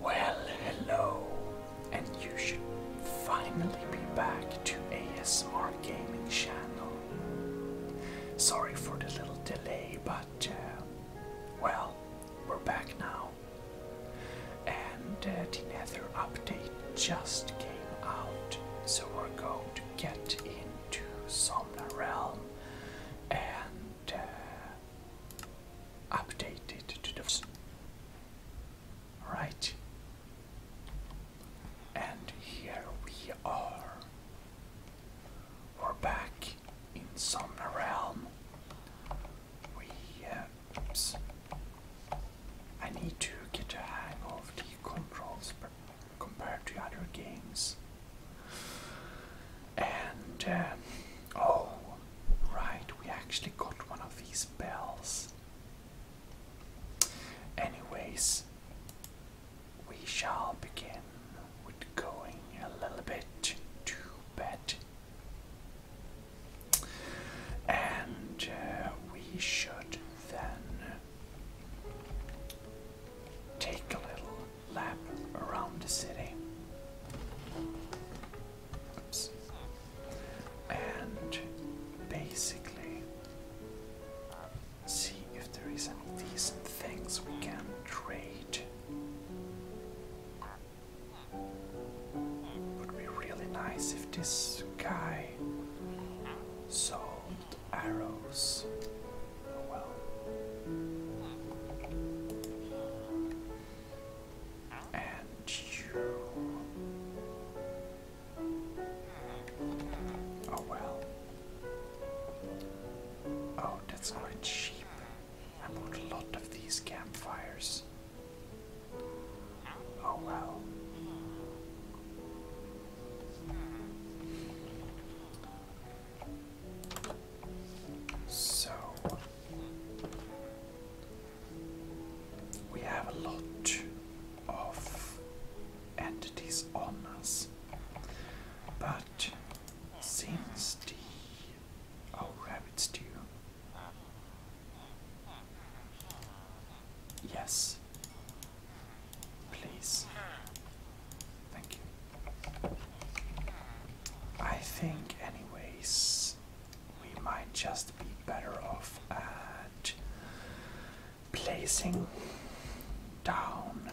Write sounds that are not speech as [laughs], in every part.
Well, hello, and you should finally be back to ASMR Gaming Channel. Sorry for the little delay, but uh, well, we're back now. And uh, the Nether update just came out, so we're going to get into Somna Realm and uh, updated to the right and here we are we're back in some realm uh, oops. I need to get a hang of the controls compared to other games and uh, oh, right, we actually got one of these bells. Anyways, we shall begin with going a little bit to bed. And uh, we should then take a little lap around the city. And basically see if there is any decent things we can trade. Would be really nice if this guy sold arrows. And Oh well. Oh, that's quite cheap. I bought a lot of these campfires. Oh well. Oh, so we have a lot of entities on us, but since the oh rabbits do yes please thank you I think, anyways, we might just be better off at placing down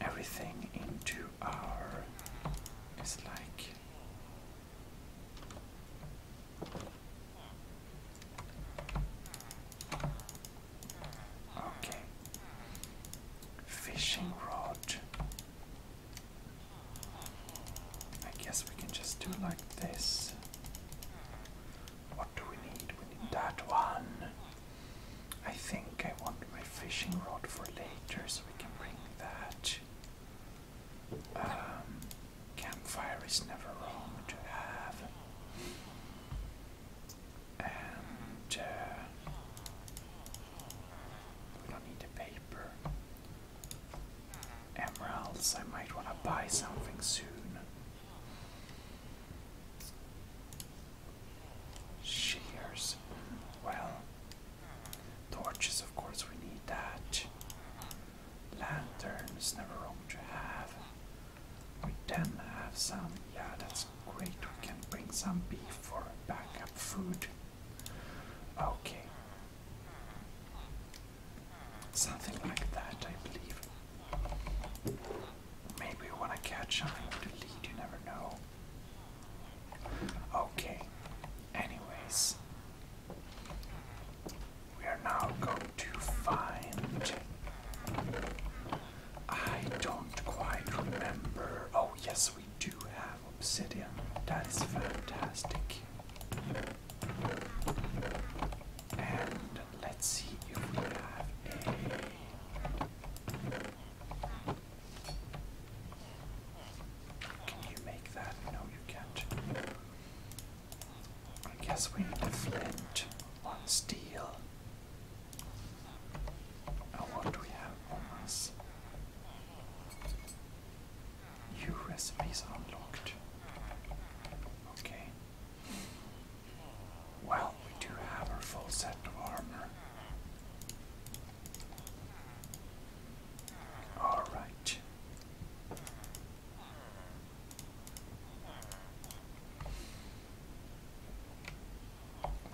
everything into our. It's like. Okay. Fishing rod. I guess we can just do like this. What do we need? We need that one. I think I want my fishing rod for later, so we can bring that. Um, campfire is never wrong to have. And uh, we don't need the paper. Emeralds, I might want to buy something soon. Shears, well, torches, of course, we need that. Lanterns, never wrong to have. We then have some, yeah, that's great. We can bring some beef for backup food. Okay. Something like that, I believe. Maybe we want to catch on to lead, you never know. Okay. Anyways. We are now going to find I don't quite remember. Oh, yes, we do have obsidian. That is fantastic. And let's see we have a. Can you make that? No, you can't. I guess we need flint, one steel, now what do we have on New recipes unlocked. Okay. Well, we do have our full set of armor. Alright.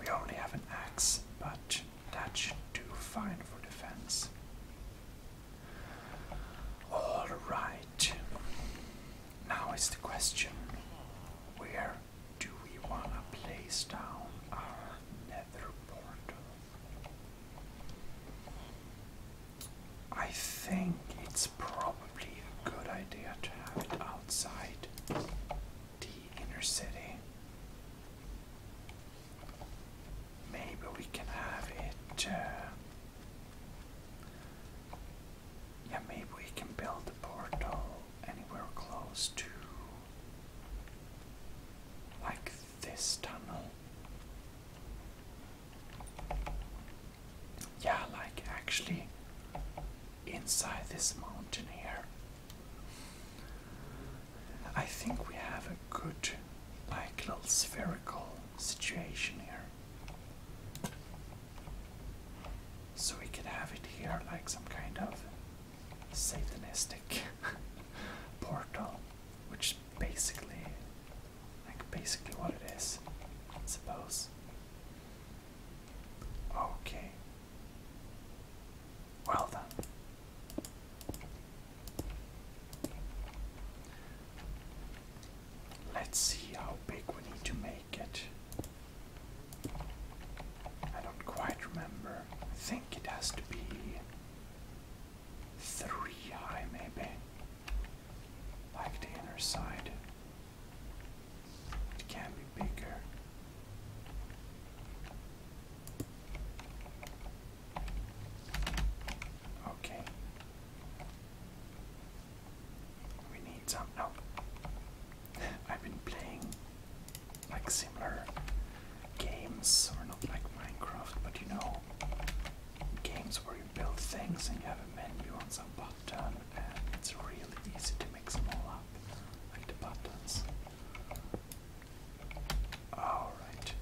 We only have an axe, but that should do fine for defense. All right. Now is the question where do we want to place down our nether portal? I think it's probably probably a good idea to have it outside the inner city. Maybe we can have it. Uh, yeah, maybe we can build a portal anywhere close to. Like this tunnel yeah, like actually inside this mountain here. I think we have a good, like, little spherical situation here. So we could have it here, like some kind of satanistic [laughs] portal, which basically, like, basically what it is, I suppose. Okay. Well done. Let's see how big we need to make it. I don't quite remember. I think it has to be three high, maybe. Like the inner side. It can be bigger. Okay. We need some. No. [laughs] I've been playing like similar games, or not like Minecraft, but you know, games where you build things and you have a menu on some button done and it's really easy to mix them all up, like the buttons. Alright.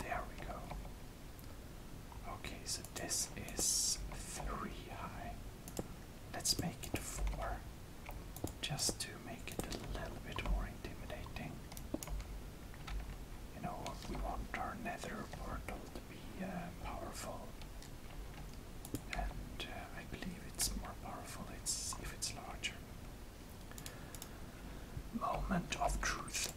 There we go. Okay, so this is three high. Let's make it four. Just to make it a little bit more intimidating. You know, what we want our nether portal be uh, powerful. And uh, I believe it's more powerful if it's larger. Moment of truth.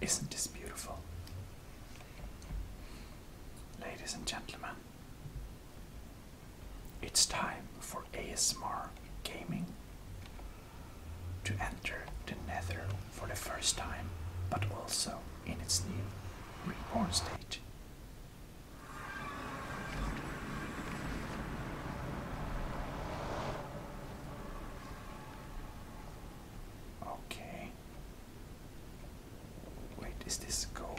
Isn't this beautiful? Ladies and gentlemen, it's time for ASMR gaming to enter the Nether for the first time, but also in its new reborn state. Okay. Wait, is this gold?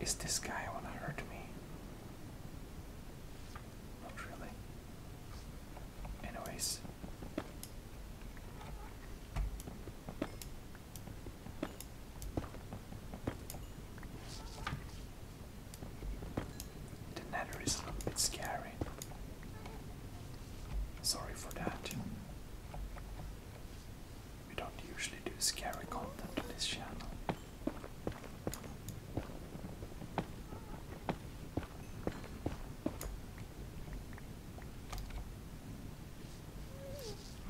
Is this guy going to hurt me? Not really. Anyways. The nether is a little bit scary. Sorry for that. We don't usually do scary content on this channel.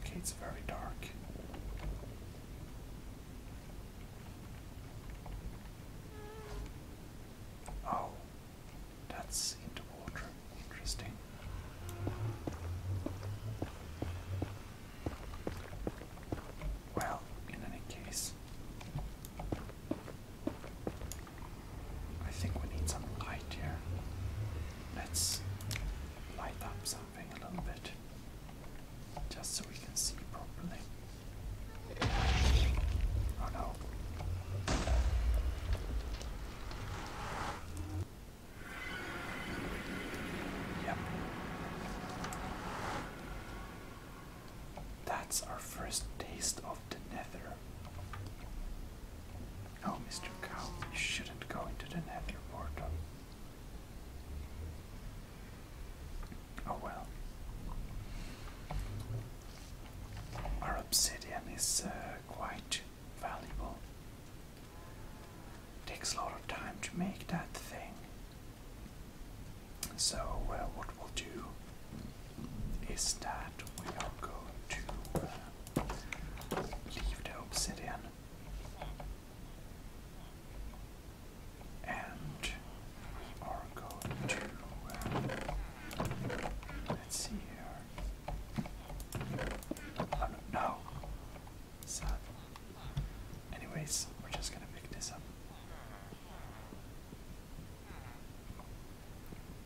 Okay, it's very dark. Oh, that's into water. Interesting. Well, in any case, I think we need some light here. Let's light up something a little bit just so we can see properly. Oh no. Yep. That's our first taste of the nether. No, oh, Mr. Cow, you shouldn't go into the nether portal. Oh well our obsidian is uh, quite valuable. Takes a lot of time to make that thing. So uh, what we'll do is that we are going to uh, leave the obsidian and we are going to let's see here Oh, no. Sad. Anyways, we're just gonna pick this up.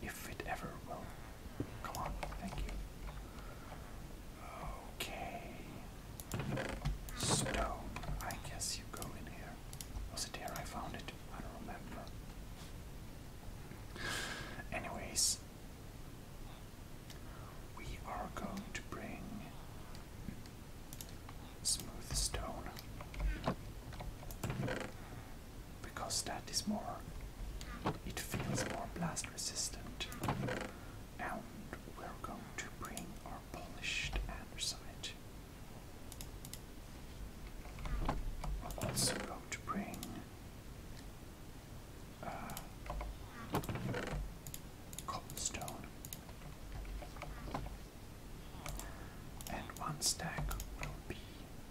If it ever will. Come on, thank you. Okay. Stone. I guess you go in here. Was it here I found it? I don't remember. Anyways, we are going to bring smooth stone because that is more, it feels more blast resistant. And we're going to bring our polished andesite. I'm also going to bring uh, cobblestone and one stack will be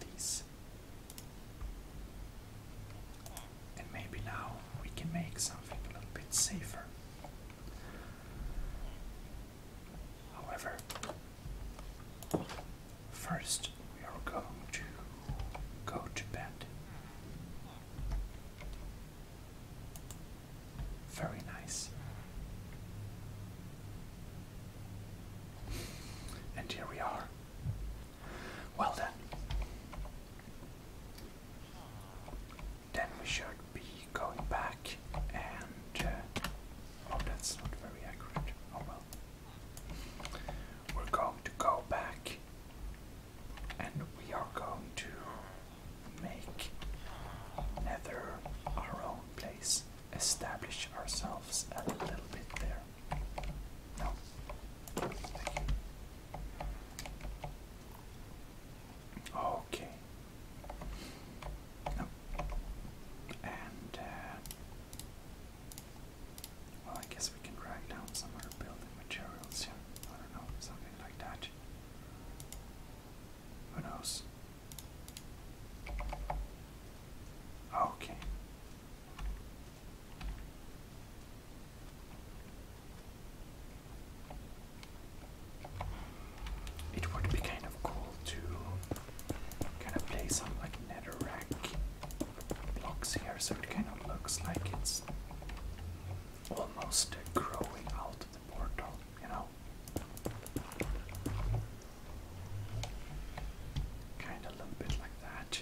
these and maybe now we can make something a little bit safer However, first we are going to go to bed. Very nice. And here we are. Well then. Then we should be going back and uh, Oh, that's not very accurate. Oh well. We're going to go back and we are going to make Nether our own place. Establish ourselves a little bit there. No. Okay. Nope. And, uh, well, I guess we can drag down some other building materials here. I don't know, something like that. Who knows? Okay. It would be kind of cool to kind of play some like netherrack blocks here, so it kind of looks like it's almost growing out of the portal, you know. Kind of a little bit like that,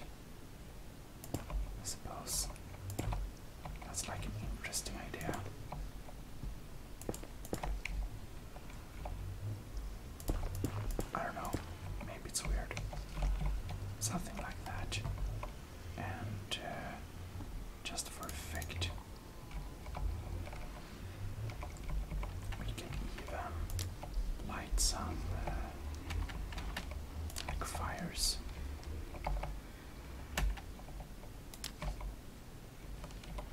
I suppose. That's like an interesting idea. I don't know, maybe it's weird. Something like that. And uh, just for effect, we can even light some uh, fires.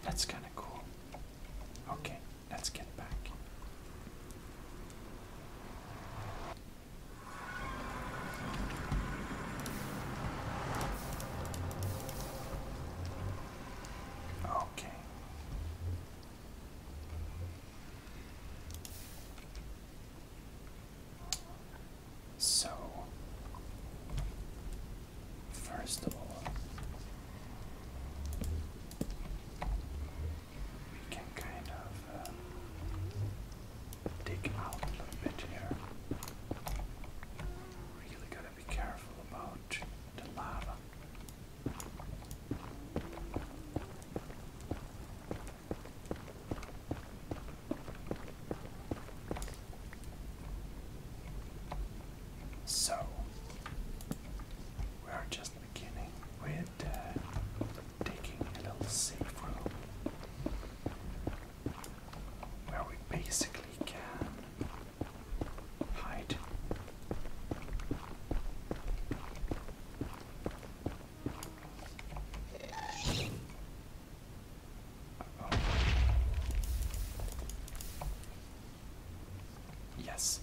That's kind of cool. Okay, let's get back. Okay. So First of all, can kind of um, dig out a little bit here. Really gotta be careful about the lava. So, we are just beginning with uh, taking a little safe room where we basically can hide. Yes.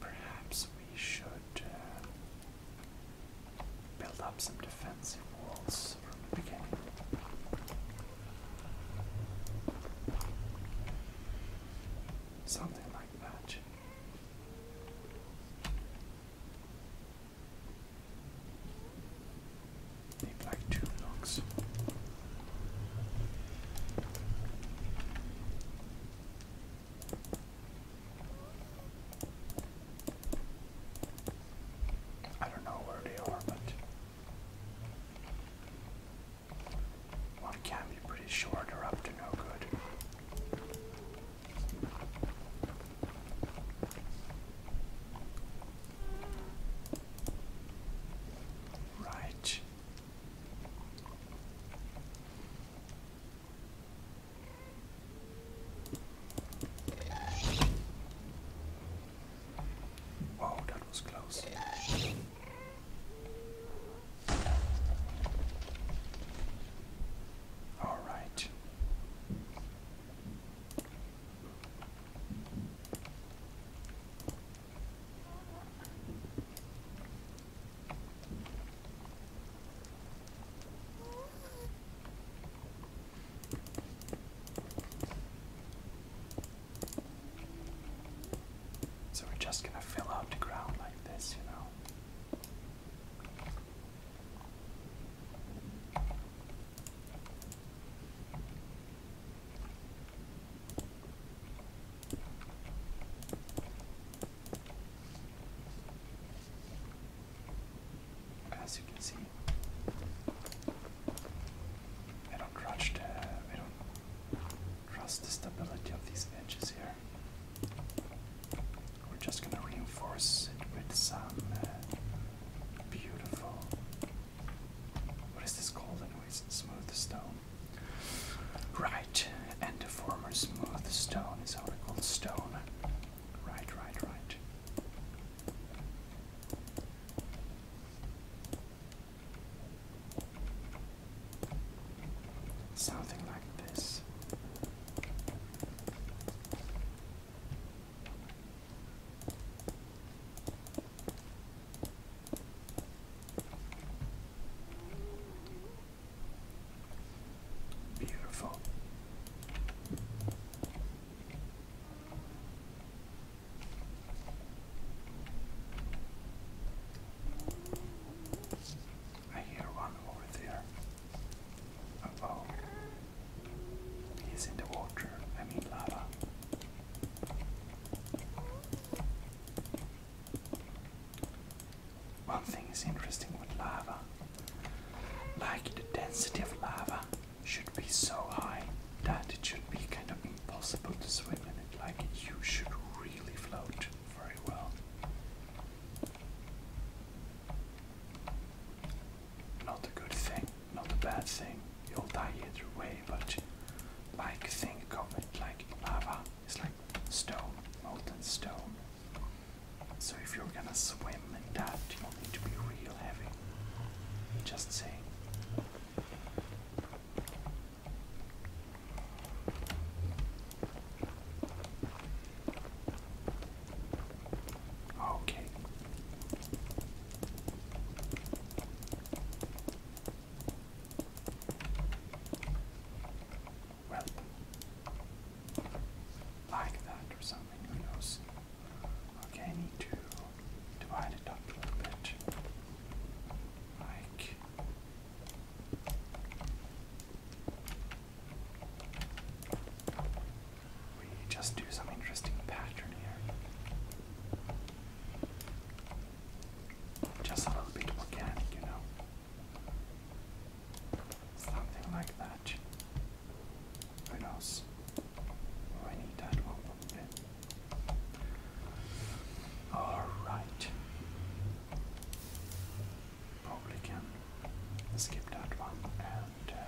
Perhaps we should uh, build up some defensive walls from the beginning. Something like that. Need like two knocks. I don't know where they are, but one can be pretty sure they're up to no good. Right. Wow, that was close. All right. So we're just going to fill out the ground like this, you know. As you can see, I don't trust, uh, I don't trust the stability of these edges here. We're just going to reinforce it with some uh, beautiful. What is this called, anyways? Smooth stone. Right, and the former smooth stone is how we call stone. Right, right, right. Something like this. Beautiful. I hear one over there oh. He's in the water. I mean lava. One thing is interesting with lava. Like the density of lava should be so high that it should be kind of impossible to swim in it. Like you should really float very well. Not a good thing, not a bad thing. You'll die either way, but like think of it like lava. It's like stone, molten stone. So if you're gonna swim in that, you'll need to be real heavy. Just saying. Okay. Well, like that or something, who knows? Okay, I need to divide it up a bit. Like we just do some interesting pattern here. Just a little bit organic, you know. Something like that. Who knows? Oh, need that one. Okay. All right. Probably can skip that one and. Uh,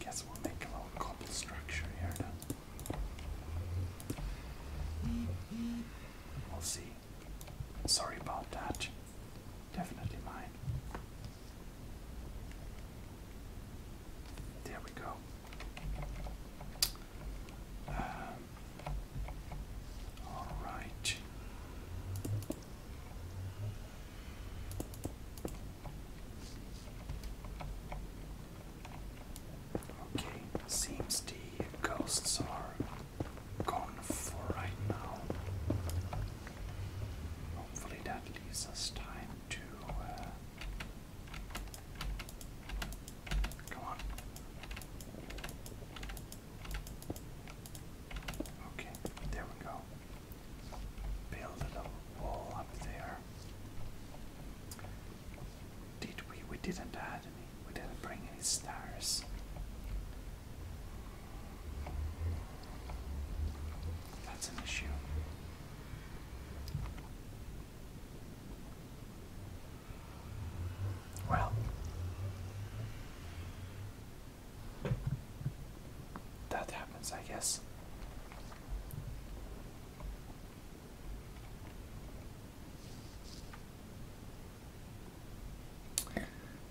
guess we'll make a little cobble structure here We'll see. Sorry about that. Definitely mine. There we go. Um, all right. Okay, seems the ghosts are gone for right now. Hopefully that leaves time to. Come uh, on. Okay, there we go. Build a little wall up there. Did we? We didn't add any. We didn't bring any stars. That's an issue. Well, that happens, I guess.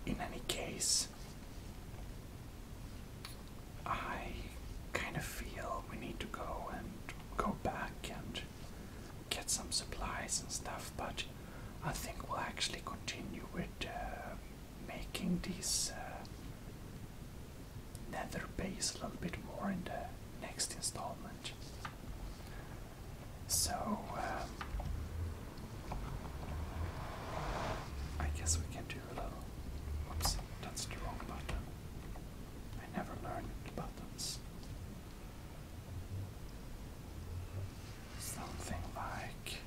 In any case, I kind of feel we need to go and go back and get some supplies and stuff, but I think we'll actually continue with uh, making this uh, nether base a little bit more in the next installment. So, um, I guess we can do a little. Whoops, that's the wrong button. I never learned the buttons. Something like.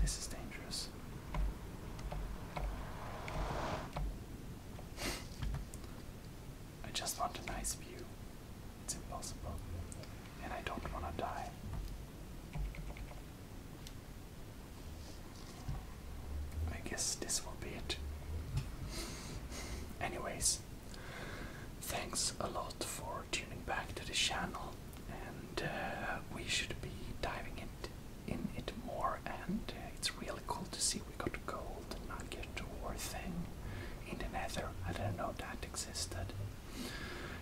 This is dangerous. [laughs] I just want a nice view. It's impossible. And I don't want to die. I guess this will be it. Anyways, thanks a lot for tuning back to the channel, and uh, we should be diving it, in it more. And uh, it's really cool to see we got gold and not get nugget or thing in the nether. I didn't know that existed.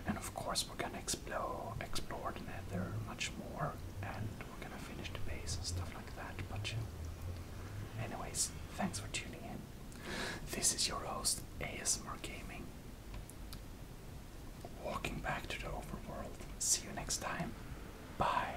And of course we're gonna explore explore the nether much more and we're gonna finish the base and stuff like that, but Anyways, thanks for tuning in. This is your host, ASMR Gaming. Walking back to the overworld. See you next time. Bye.